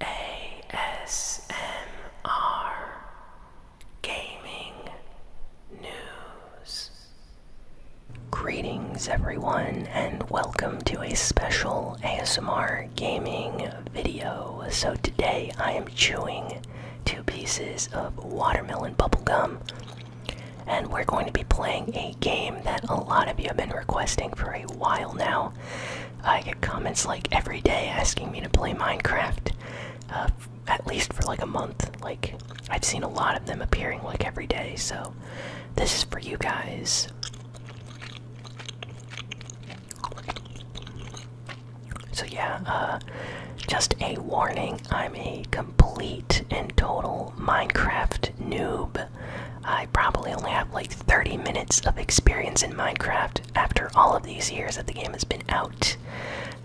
ASMR Gaming News. Greetings, everyone, and welcome to a special ASMR gaming video. So, today I am chewing two pieces of watermelon bubblegum, and we're going to be playing a game that a lot of you have been requesting for a while now. I get comments like every day asking me to play Minecraft, uh, at least for like a month. Like, I've seen a lot of them appearing like every day, so this is for you guys. So, yeah, uh, just a warning I'm a complete and total Minecraft noob. I probably only have like 30 minutes of experience in Minecraft after all of these years that the game has been out.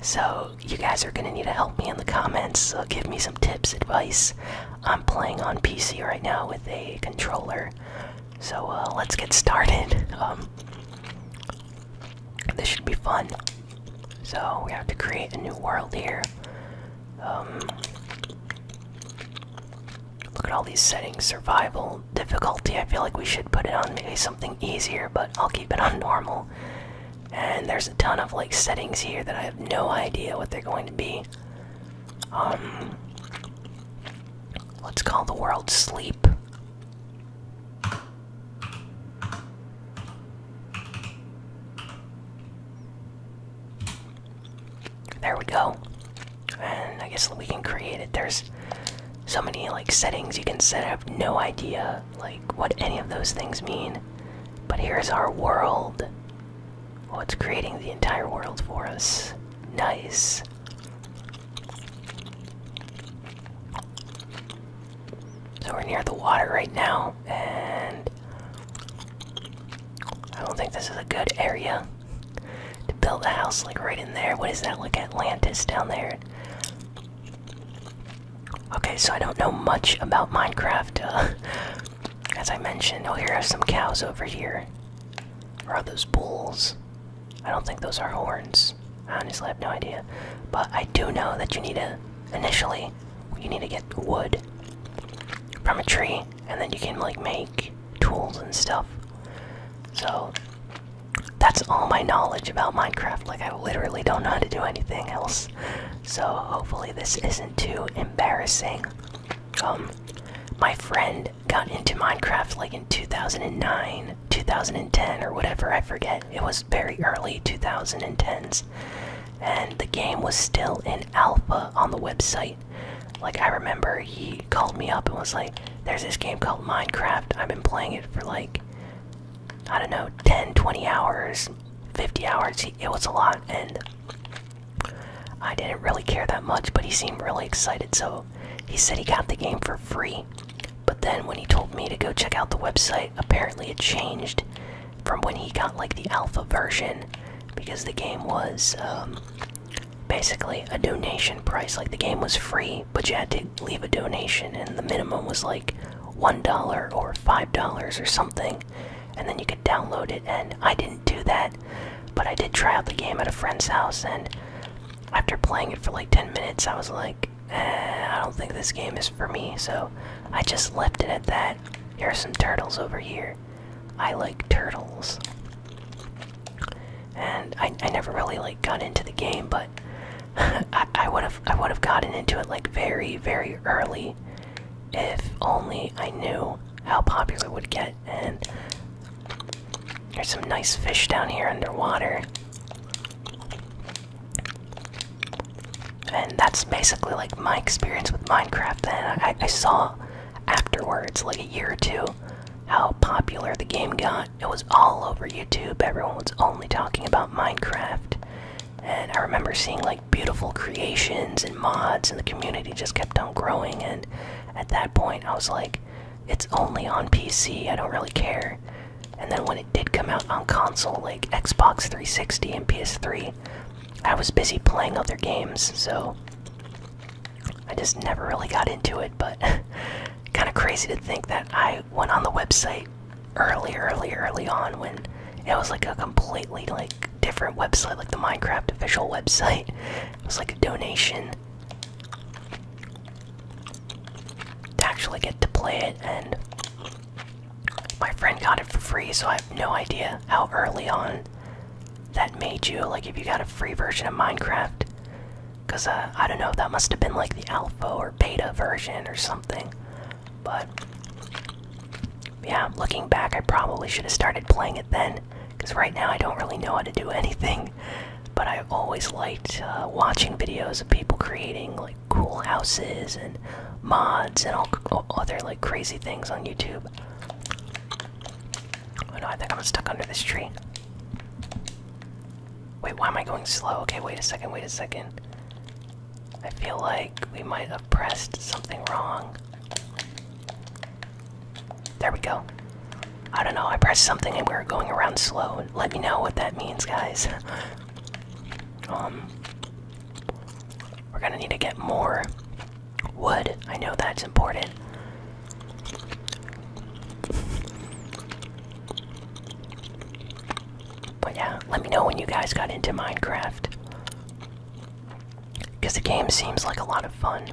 So, you guys are gonna need to help me in the comments, uh, give me some tips, advice. I'm playing on PC right now with a controller, so uh, let's get started. Um, this should be fun. So, we have to create a new world here. Um, Look at all these settings. Survival, difficulty. I feel like we should put it on maybe something easier, but I'll keep it on normal. And there's a ton of like settings here that I have no idea what they're going to be. Um, let's call the world sleep. There we go. And I guess we can create it. There's so many like settings you can set. I have no idea like what any of those things mean. But here's our world. What's creating the entire world for us. Nice. So we're near the water right now, and I don't think this is a good area to build a house like right in there. What is that? Like Atlantis down there. Okay, so I don't know much about Minecraft. Uh, as I mentioned, oh, here are some cows over here. are those bulls? I don't think those are horns. I honestly have no idea. But I do know that you need to, initially, you need to get wood from a tree and then you can like make tools and stuff so that's all my knowledge about minecraft like i literally don't know how to do anything else so hopefully this isn't too embarrassing um my friend got into minecraft like in 2009 2010 or whatever i forget it was very early 2010s and the game was still in alpha on the website like I remember he called me up and was like, "There's this game called Minecraft. I've been playing it for like I don't know, 10, 20 hours, 50 hours. It was a lot and I didn't really care that much, but he seemed really excited. So he said he got the game for free. But then when he told me to go check out the website, apparently it changed from when he got like the alpha version because the game was um, basically a donation price. Like the game was free, but you had to leave a donation, and the minimum was like $1 or $5 or something, and then you could download it. And I didn't do that, but I did try out the game at a friend's house, and after playing it for like 10 minutes, I was like, eh, I don't think this game is for me, so I just left it at that. Here are some turtles over here. I like turtles. And I, never really like got into the game, but I, would have I would have gotten into it like very very early, if only I knew how popular it would get. And there's some nice fish down here underwater. And that's basically like my experience with Minecraft. Then I saw afterwards, like a year or two, how popular the game got. It was all over YouTube. Everyone was only talking about Minecraft. And I remember seeing like beautiful creations and mods, and the community just kept on growing. And at that point, I was like, it's only on PC, I don't really care. And then when it did come out on console, like Xbox 360 and PS3, I was busy playing other games, so I just never really got into it. But kind of crazy to think that I went on the website early, early, early on when it was like a completely like different website, like the Minecraft official website. It was like a donation to actually get to play it, and my friend got it for free, so I have no idea how early on that made you like if you got a free version of Minecraft. Cause uh, I don't know, that must have been like the alpha or beta version or something. But yeah, looking back, I probably should have started playing it then. Cause right now I don't really know how to do anything. But I always liked uh, watching videos of people creating like cool houses and mods and all, all other like crazy things on YouTube. Oh no, I think I'm stuck under this tree. Wait, why am I going slow? Okay, wait a second, wait a second. I feel like we might have pressed something wrong. There we go. I don't know, I pressed something and we are going around slow. Let me know what that means, guys. um, we're gonna need to get more Wood. I know that's important. But yeah, let me know when you guys got into Minecraft. Because the game seems like a lot of fun.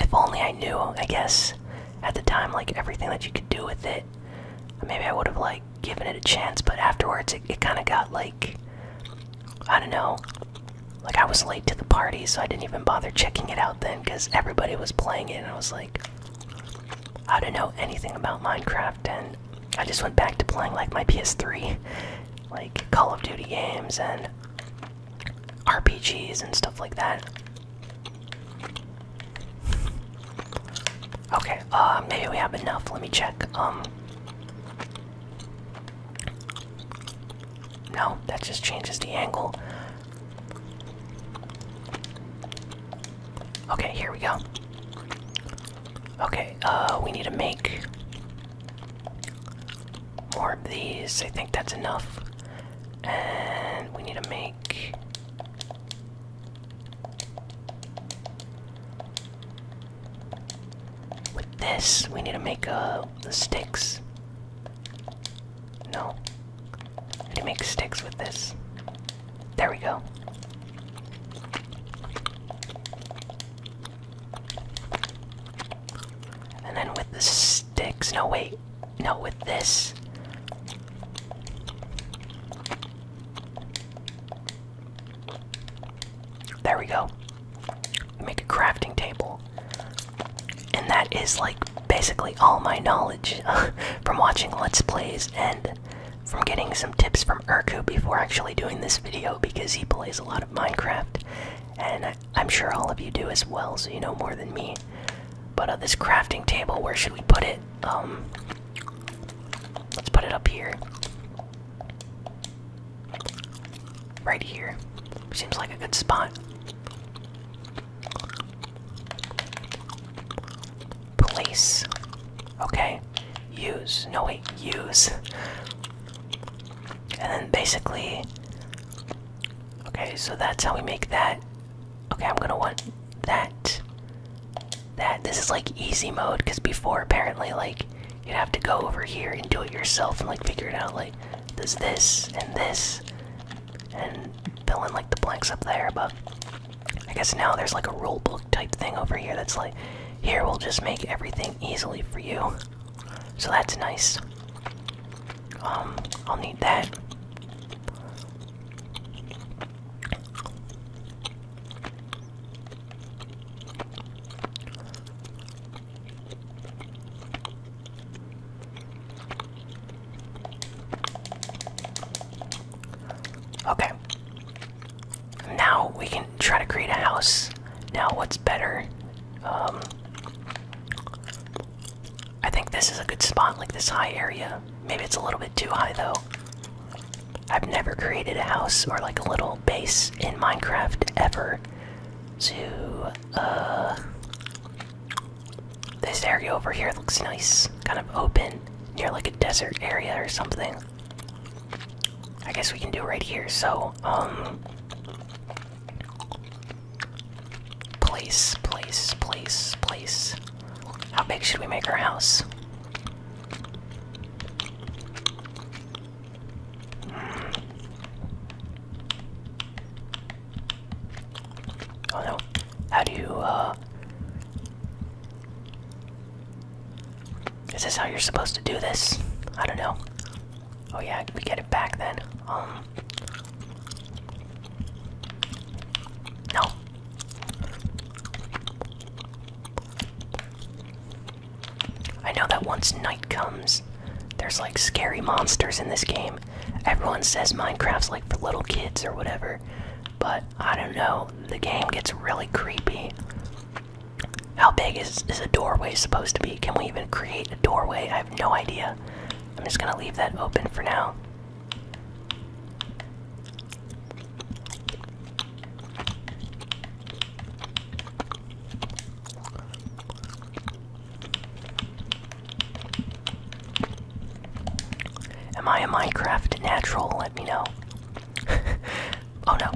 If only I knew, I guess, at the time, like everything that you could do with it. Maybe I would have, like, given it a chance, but afterwards it, it kind of got, like, I don't know, like, I was late to the party, so I didn't even bother checking it out then because everybody was playing it, and I was like, I don't know anything about Minecraft, and I just went back to playing like my PS3, like Call of Duty games and RPGs and stuff like that. Okay, uh, maybe we have enough. Let me check. Um, no, that just changes the angle. Okay, here we go. Okay, uh, we need to make more of these. I think that's enough. And we need to make with this, we need to make uh, sticks. No. I need to make sticks with this. There we go. And then with the sticks. No, wait. No, with this. There we go. Make a crafting table. And that is like basically all my knowledge from watching Let's Plays and from getting some tips from Urku before actually doing this video because he plays a lot of Minecraft. And I, am sure all of you do as well, so you know more than me. But uh, this crafting table, where should we put it? Um, let's put it up here. Right here. Seems like a good spot. Place. Okay. Use. No, wait. Use. And then basically. Okay, so that's how we make that. Okay, I'm gonna want that. That. This is like easy mode because before apparently, like, You'd have to go over here and do it yourself and like figure it out. Like, does this and this, and fill in like the blanks up there. But I guess now there's like a rule book type thing over here that's like, here we'll just make everything easily for you. So that's nice. Um, I'll need that. Okay. Now we can try to create a house. Now, what's better? Um, I think this is a good spot, like this high area. Maybe it's a little bit too high, though. I've never created a house or like a little base in Minecraft ever. So, uh, this area over here looks nice, kind of open, near like a desert area or something. I guess we can do right here. So, um, place, place, place, place. How big should we make our house? Oh no. How do you, uh. Is this how you're supposed to do this? I don't know. Oh yeah, we get it back then. Um, no. I know that once night comes, there's like scary monsters in this game. Everyone says Minecraft's like for little kids or whatever, but I don't know. The game gets really creepy. How big is, is a doorway supposed to be? Can we even create a doorway? I have no idea. I'm just gonna leave that open for now. Am I a Minecraft natural? Let me know. oh no.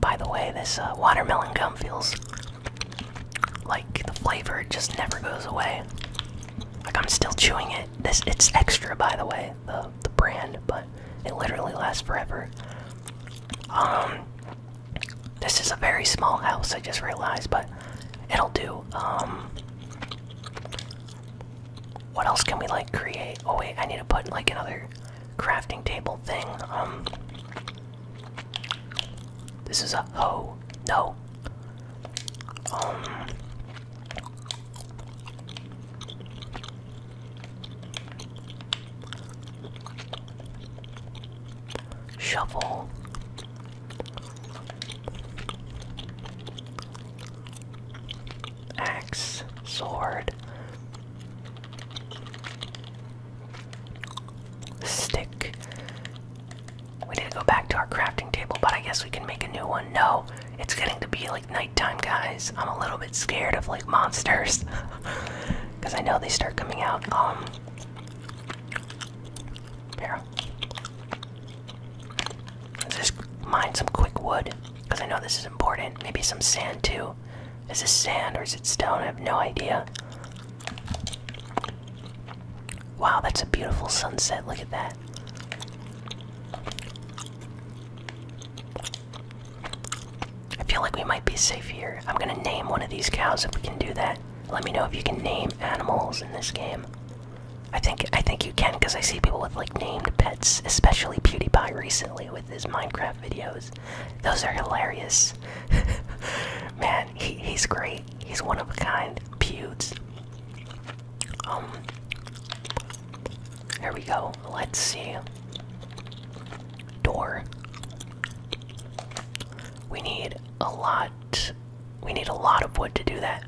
By the way, this uh, watermelon gum feels like the flavor just never goes away. Like I'm still chewing it. This it's extra by the way, the brand, but it literally lasts forever. Um, this is a very small house. I just realized, but it'll do. Um, what else can we like create? Oh wait, I need to put like another crafting table thing. Um, this is a oh No. Um. Shovel. Axe, sword, stick. We need to go back to our crafting table, but I guess we can make a new one. No, it's getting to be like nighttime, guys. I'm a little bit scared of like monsters because I know they start coming out. Um, here, let's just mine some quick wood because I know this is important. Maybe some sand too. Is this sand or is it stone? I have no idea. Wow, that's a beautiful sunset. Look at that. I feel like we might be safe here. I'm gonna name one of these cows if we can do that. Let me know if you can name animals in this game. I think I think you can because I see people with like named pets, especially PewDiePie recently with his Minecraft videos. Those are hilarious. Man, he's great. He's one of a kind. Pewds. Um, here we go. Let's see. Door. We need a lot. We need a lot of wood to do that.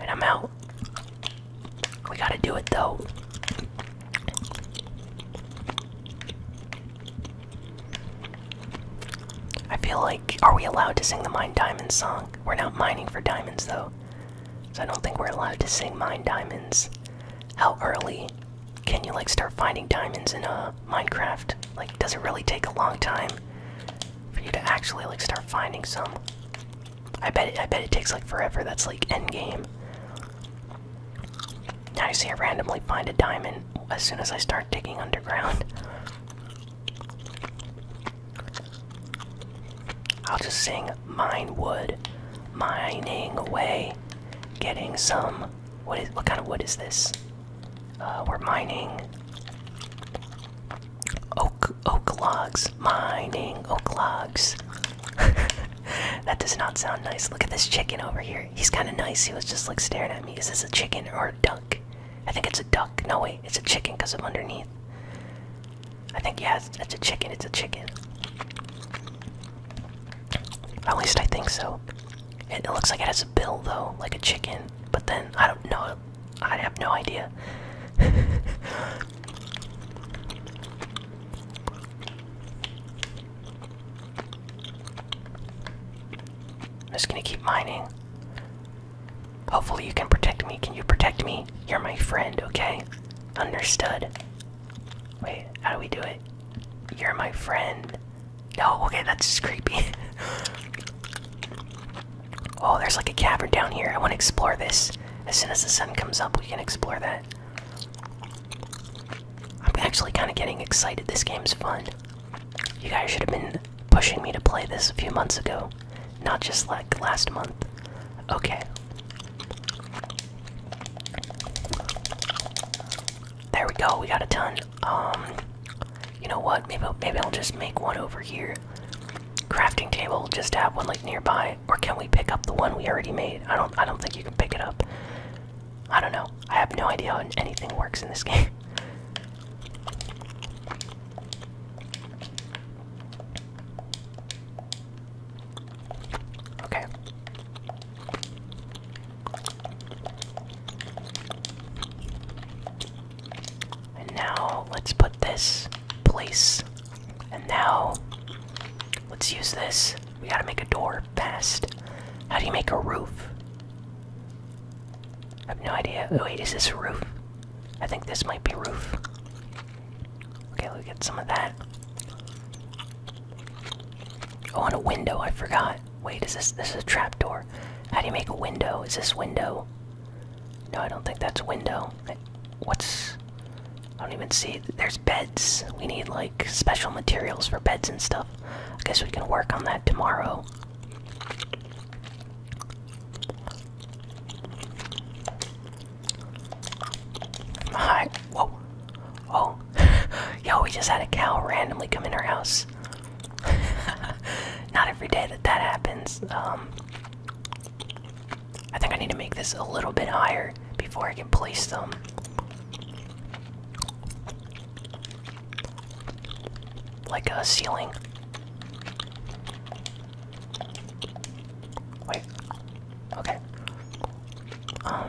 And I'm out. We gotta do it though. I feel like. Are we allowed to sing the Mine diamonds song? We're not mining for diamonds though. So I don't think we're allowed to sing mine diamonds. How early can you like start finding diamonds in a Minecraft? Like does it really take a long time for you to actually like start finding some? I bet it I bet it takes like forever. That's like end game. Now you see I randomly find a diamond as soon as I start digging underground. I'll just sing mine wood, mining away, getting some. What is what kind of wood is this? Uh, we're mining oak oak logs, mining oak logs. that does not sound nice. Look at this chicken over here. He's kind of nice. He was just like staring at me. Is this a chicken or a duck? I think it's a duck. No wait, it's a chicken because I'm underneath. I think yeah, it's, a chicken. It's a chicken. At least I think so. It, it looks like it has a bill though, like a chicken. But then I don't know. I have no idea. I'm just gonna keep mining. Hopefully, you can protect me. Can you protect me? You're my friend, okay? Understood. Wait, how do we do it? You're my friend. No, okay, that's just creepy. oh, there's like a cavern down here. I want to explore this. As soon as the sun comes up, we can explore that. I'm actually kind of getting excited. This game's fun. You guys should have been pushing me to play this a few months ago. Not just like last month. Okay. There we go. We got a ton. Um, you know what? Maybe maybe I'll just make one over here. Crafting table. Just have one like nearby, or can we pick up the one we already made? I don't. I don't think you can pick it up. I don't know. I have no idea how anything works in this game. Okay. And now let's put this place. And now let's use this. We gotta make a door fast. How do you make a roof? I have no idea. Oh, wait, is this a roof? I think this might be roof. Okay, let's get some of that. Oh, on a window, I forgot. Wait, is this this is a trapdoor? How do you make a window? Is this window? No, I don't think that's window. What's I don't even see there's beds. We need like special materials for beds and stuff. I guess we can work on that tomorrow. My whoa, oh, yo, we just had a cow randomly come in our house. Not every day that that happens. Um, I think I need to make this a little bit higher before I can place them. Like a ceiling. Wait. Okay. Um.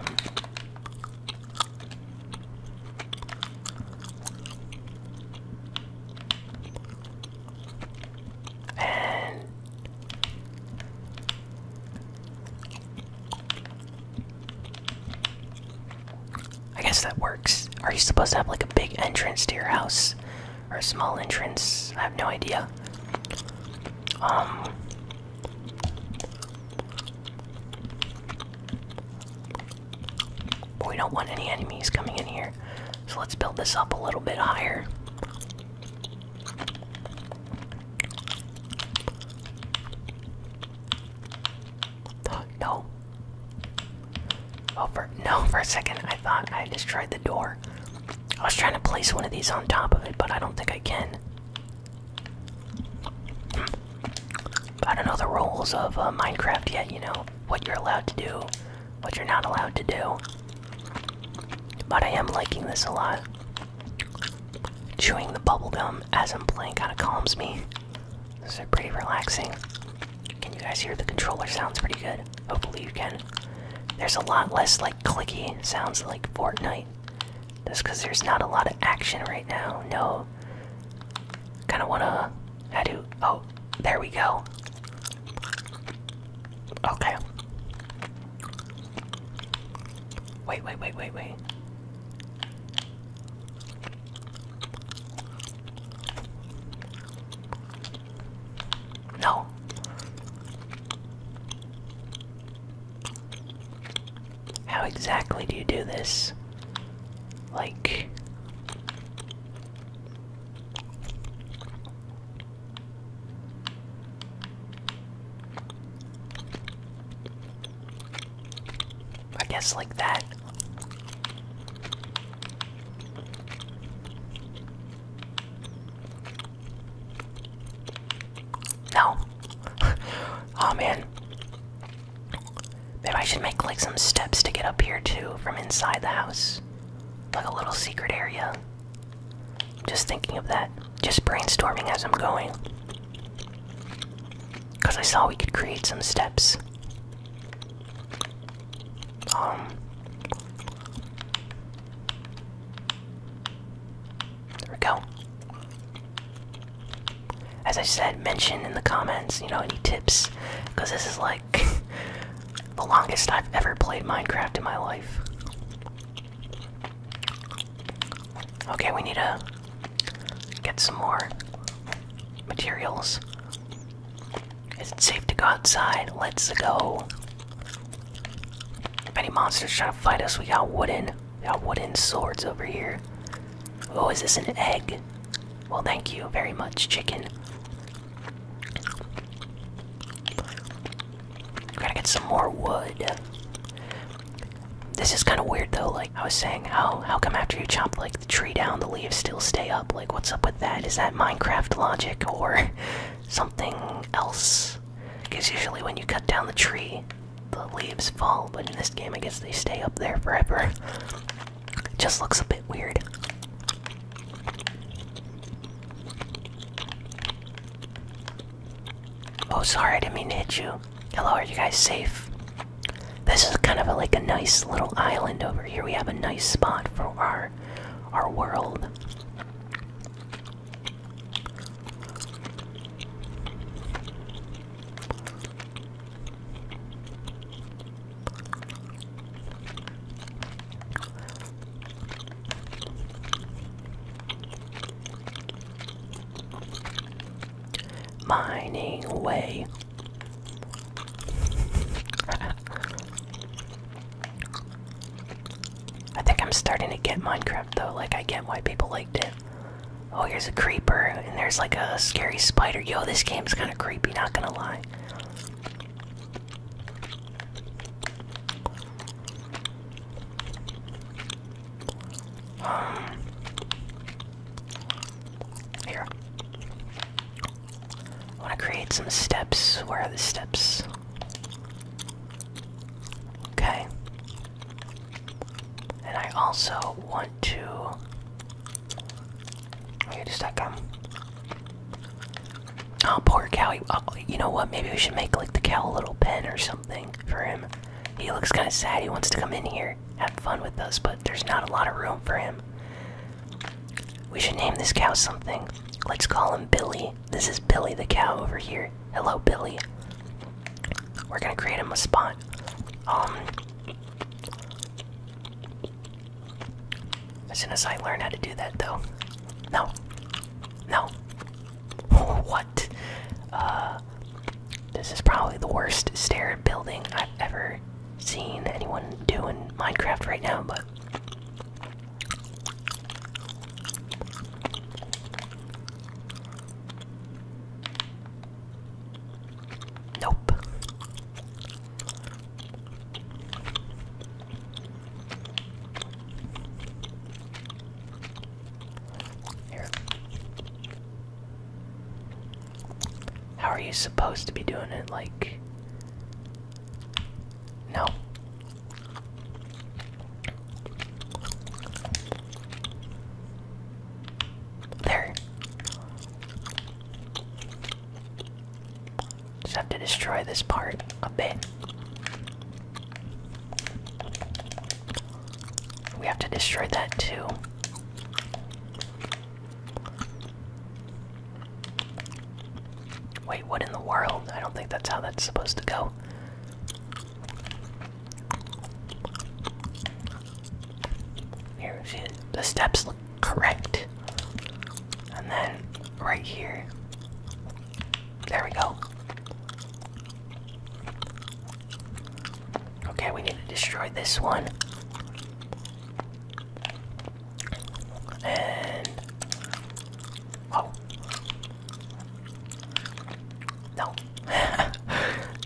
And I guess that works. Are you supposed to have like a big entrance to your house? or a small entrance. I have no idea. Um. we don't want any enemies coming in here. So let's build this up a little bit higher. No. Oh, for, no, for a second I thought I destroyed the door. I was trying to place one of these on top of it, but I don't think I can. I don't know the rules of uh, Minecraft yet, you know, what you're allowed to do, what you're not allowed to do. But I am liking this a lot. Chewing the bubblegum as I'm playing kind of calms me. This pretty relaxing. Can you guys hear the controller? Sounds pretty good. Hopefully, you can. There's a lot less like clicky sounds like Fortnite. That's because there's not a lot of action right now. No. Kind of wanna. I do. Oh, there we go. Okay. Wait, wait, wait, wait, wait. No. How exactly do you do this? Like. I guess like that. No. oh man. Maybe I should make like some steps to get up here too from inside the house. Like a little secret area. Just thinking of that. Just brainstorming as I'm going. Because I saw we could create some steps. Um, there we go. As I said, mention in the comments, you know, any tips, because this is like the longest I've ever played Minecraft in my life. Okay, we need to get some more materials. Is it safe to go outside? Let's go. If any monsters try to fight us, we got wooden, we got wooden swords over here. Oh, is this an egg? Well, thank you very much, chicken. Gotta get some more wood. This is kind of weird, though. Like I was saying, how how come after you chop like the tree down, the leaves still stay up? Like, what's up with that? Is that Minecraft logic or something else? Because usually when you cut down the tree, the leaves fall, but in this game, I guess they stay up there forever. It just looks a bit weird. Oh, sorry, I didn't mean to hit you. Hello, are you guys safe? This is kind of a, like a nice little island over here. We have a nice spot for our our world. Mining way I think I'm starting to get Minecraft though, like I get why people liked it. Oh, here's a creeper, and there's like a scary spider. Yo, this game is kinda creepy, not gonna lie. Um, here. I want to create some steps. Where are the steps? Okay. And I also want to. Where does that come? Oh, poor cow. oh, you know what? Maybe we should make like the cow a little pen or something for him. He looks kind of sad. He wants to come in here, have fun with us, but there's not a lot of room for him. We should name this cow something. Let's call him Billy. This is Billy the cow over here. Hello, Billy. We're gonna create him a spot. Um. As soon as I learn how to do that, though. No. No. what? Uh. This is probably the worst stair building I've ever seen anyone doing Minecraft right now, but Nope. Here. How are you supposed to be doing it? Like, no. There. Just have to destroy this part a bit. We have to destroy that too. Wait, what in the world? I don't think that's how that's supposed to go. Here she The steps look correct. And then right here. There we go. Okay, we need to destroy this one. And oh no,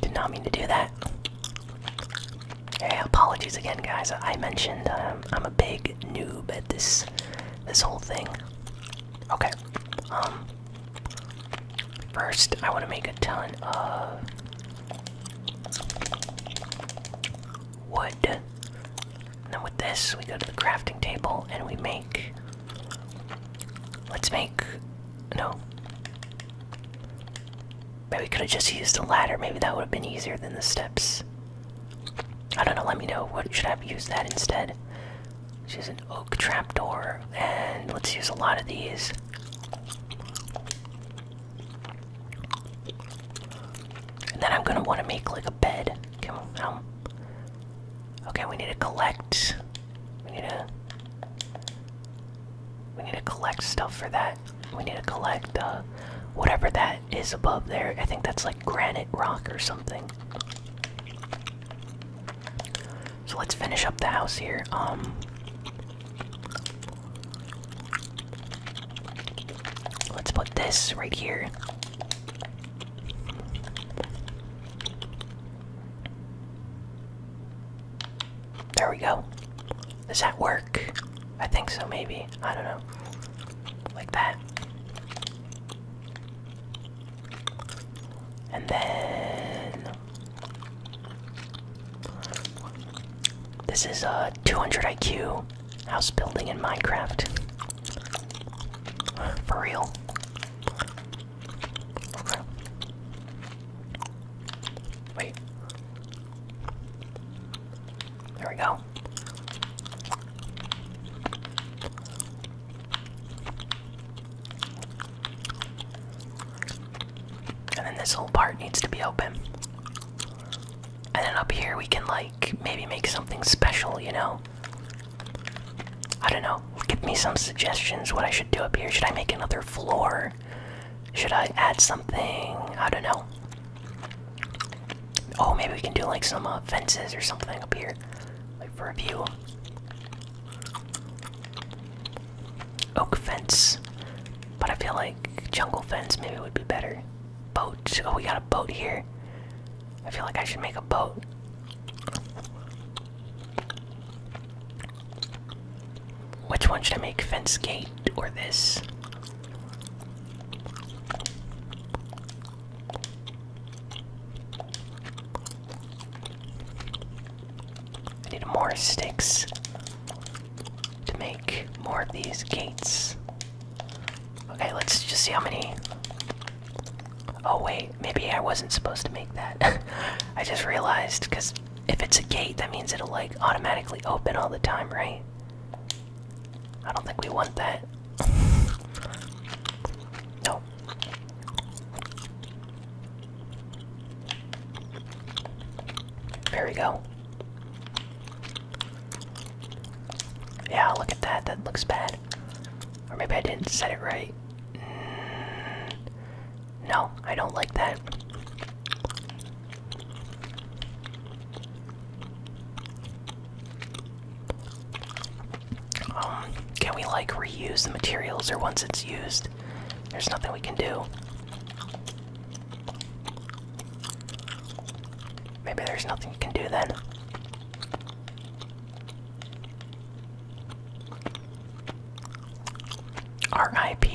did not mean to do that. apologies again, guys. I mentioned um, I'm a big noob at this this whole thing. Okay. Um. First, I want to make a ton of wood. And then with this, we go to the crafting table and we make. Let's make. No. Maybe we could have just used a ladder. Maybe that would have been easier than the steps. I don't know. Let me know. What should I have used that instead? let use an oak trapdoor, and let's use a lot of these. And then I'm gonna want to make like a bed. Come on, Okay, we need to collect. We need to. We need to collect stuff for that. We need to collect uh, whatever that is above there. I think that's like granite rock or something. So let's finish up the house here. Um, Let's put this right here. There we go. Does that work? I think so, maybe. I don't know. Like that. And then this is a 200 IQ house building in Minecraft. For real. Wait. There we go. And then this whole part needs to be open. And then up here we can like maybe make something special, you know? I don't know. Give me some suggestions what I should do up here. Should I make another floor? Should I add something? I don't know. Oh, maybe we can do like some uh, fences or something up here. Like for a view. Oak fence. But I feel like jungle fence maybe it would be better. Boat. Oh, we got a boat here. I feel like I should make a boat. Which one should I make? Fence gate or this? need more sticks to make more of these gates. Okay, let's just see how many. Oh, wait, maybe I wasn't supposed to make that. I just realized because if it's a gate, that means it'll like automatically open all the time, right? I don't think we want that. no. There we go. Yeah, look at that. That looks bad. Or maybe I didn't set it right. Mm. no, I don't like that. Um, can we like reuse the materials or once it's used? There's nothing we can do. Maybe there's nothing you can do then. RIP.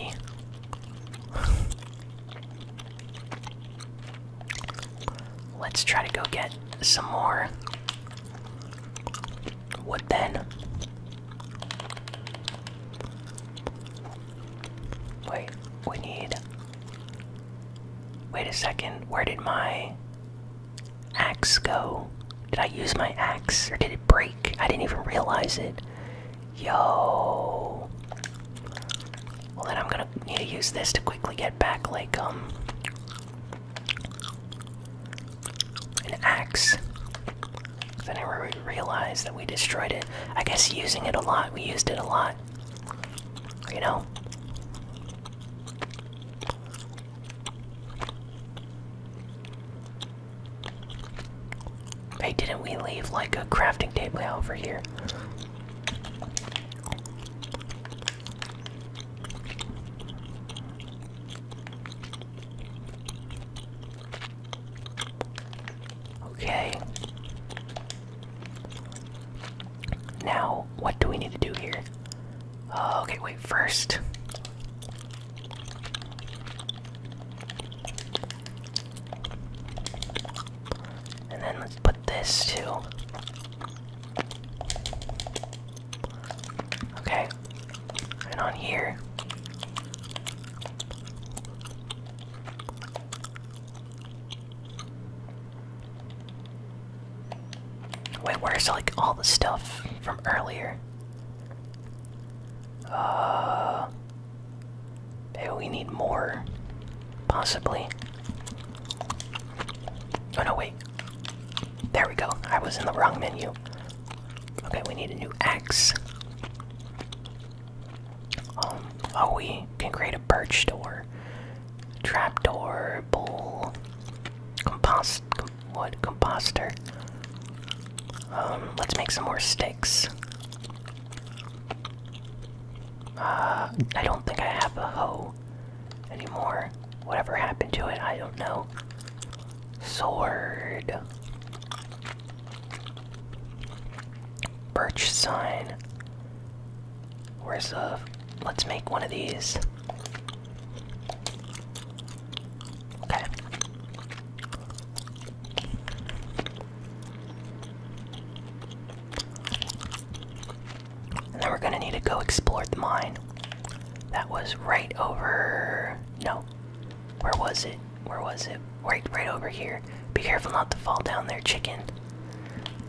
Let's try to go get some more What then. Wait, we need. Wait a second, where did my axe go? Did I use my axe or did it break? I didn't even realize it. Yo. Well, then I'm gonna need to use this to quickly get back, like, um. An axe. I never realized that we destroyed it. I guess using it a lot, we used it a lot. You know? Hey, didn't we leave like a crafting table over here? Okay. Now, what do we need to do here? Uh, okay, wait, first. And then let's put this too. Okay. And on here. Wait, where's like all the stuff from earlier? Uh, maybe we need more, possibly. Oh no, wait. There we go. I was in the wrong menu. Okay, we need a new X. Um, oh, we can create a birch door, trap bowl, compost, wood, composter. Um, let's make some more sticks. Uh, I don't think I have a hoe anymore. Whatever happened to it, I don't know. Sword. Birch sign. Where's the. Let's make one of these. Okay. And then we're gonna need to go explore the mine. That was right over. No, where was it? Where was it? Right, right over here. Be careful not to fall down there, chicken.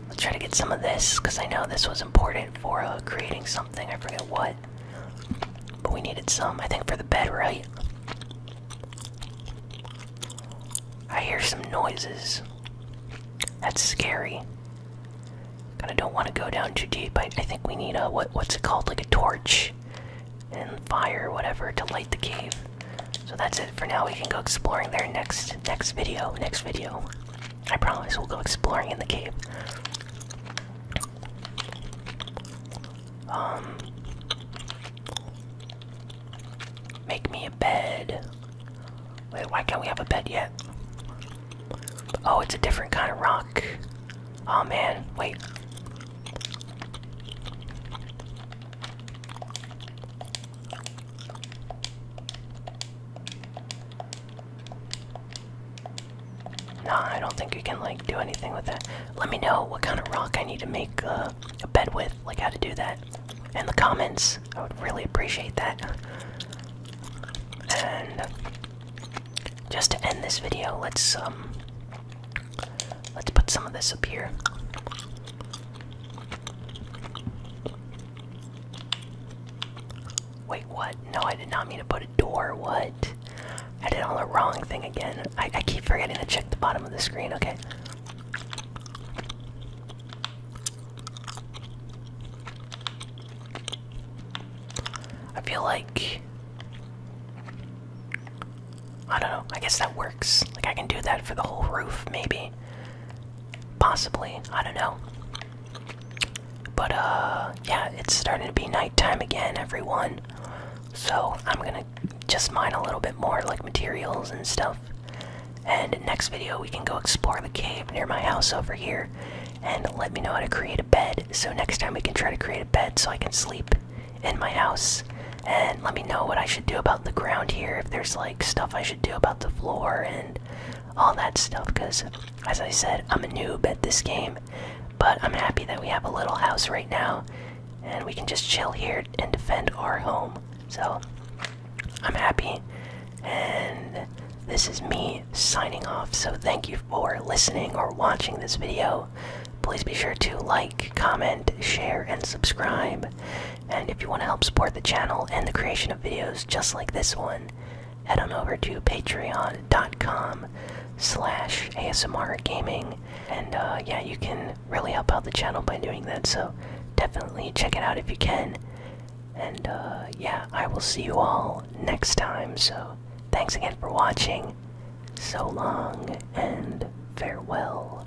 Let's try to get some of this, because I know this was important for uh, creating something. I forget what. But we needed some, I think, for the bed, right? I hear some noises. That's scary. Kind of don't want to go down too deep. I, I think we need a what? What's it called? Like a torch and fire, whatever, to light the cave. So that's it for now. We can go exploring there next next video. Next video. I promise we'll go exploring in the cave. Um Make me a bed. Wait, why can't we have a bed yet? Oh, it's a different kind of rock. Oh man, wait. Nah, I don't think we can like do anything with that. Let me know what kind of rock I need to make uh, a bed with, like how to do that, in the comments. I would really appreciate that. And just to end this video, let's um let's put some of this up here. Wait, what? No, I did not mean to put a door. What? I did all the wrong thing again. I, I keep forgetting to check the bottom of the screen. Okay. I feel like I don't know. I guess that works. Like, I can do that for the whole roof, maybe. Possibly. I don't know. But, uh, yeah, it's starting to be nighttime again, everyone. So, I'm gonna just mine a little bit more, like, materials and stuff. And next video, we can go explore the cave near my house over here. And let me know how to create a bed. So, next time, we can try to create a bed so I can sleep in my house and let me know what I should do about the ground here, if there's like stuff I should do about the floor and all that stuff. Because, as I said, I'm a noob at this game, but I'm happy that we have a little house right now and we can just chill here and defend our home. So, I'm happy, and this is me signing off. So, thank you for listening or watching this video. Please be sure to like, comment, share, and subscribe. And if you want to help support the channel and the creation of videos just like this one, head on over to patreon.com slash ASMR gaming. And uh, yeah, you can really help out the channel by doing that, so definitely check it out if you can. And uh, yeah, I will see you all next time, so thanks again for watching. So long and farewell.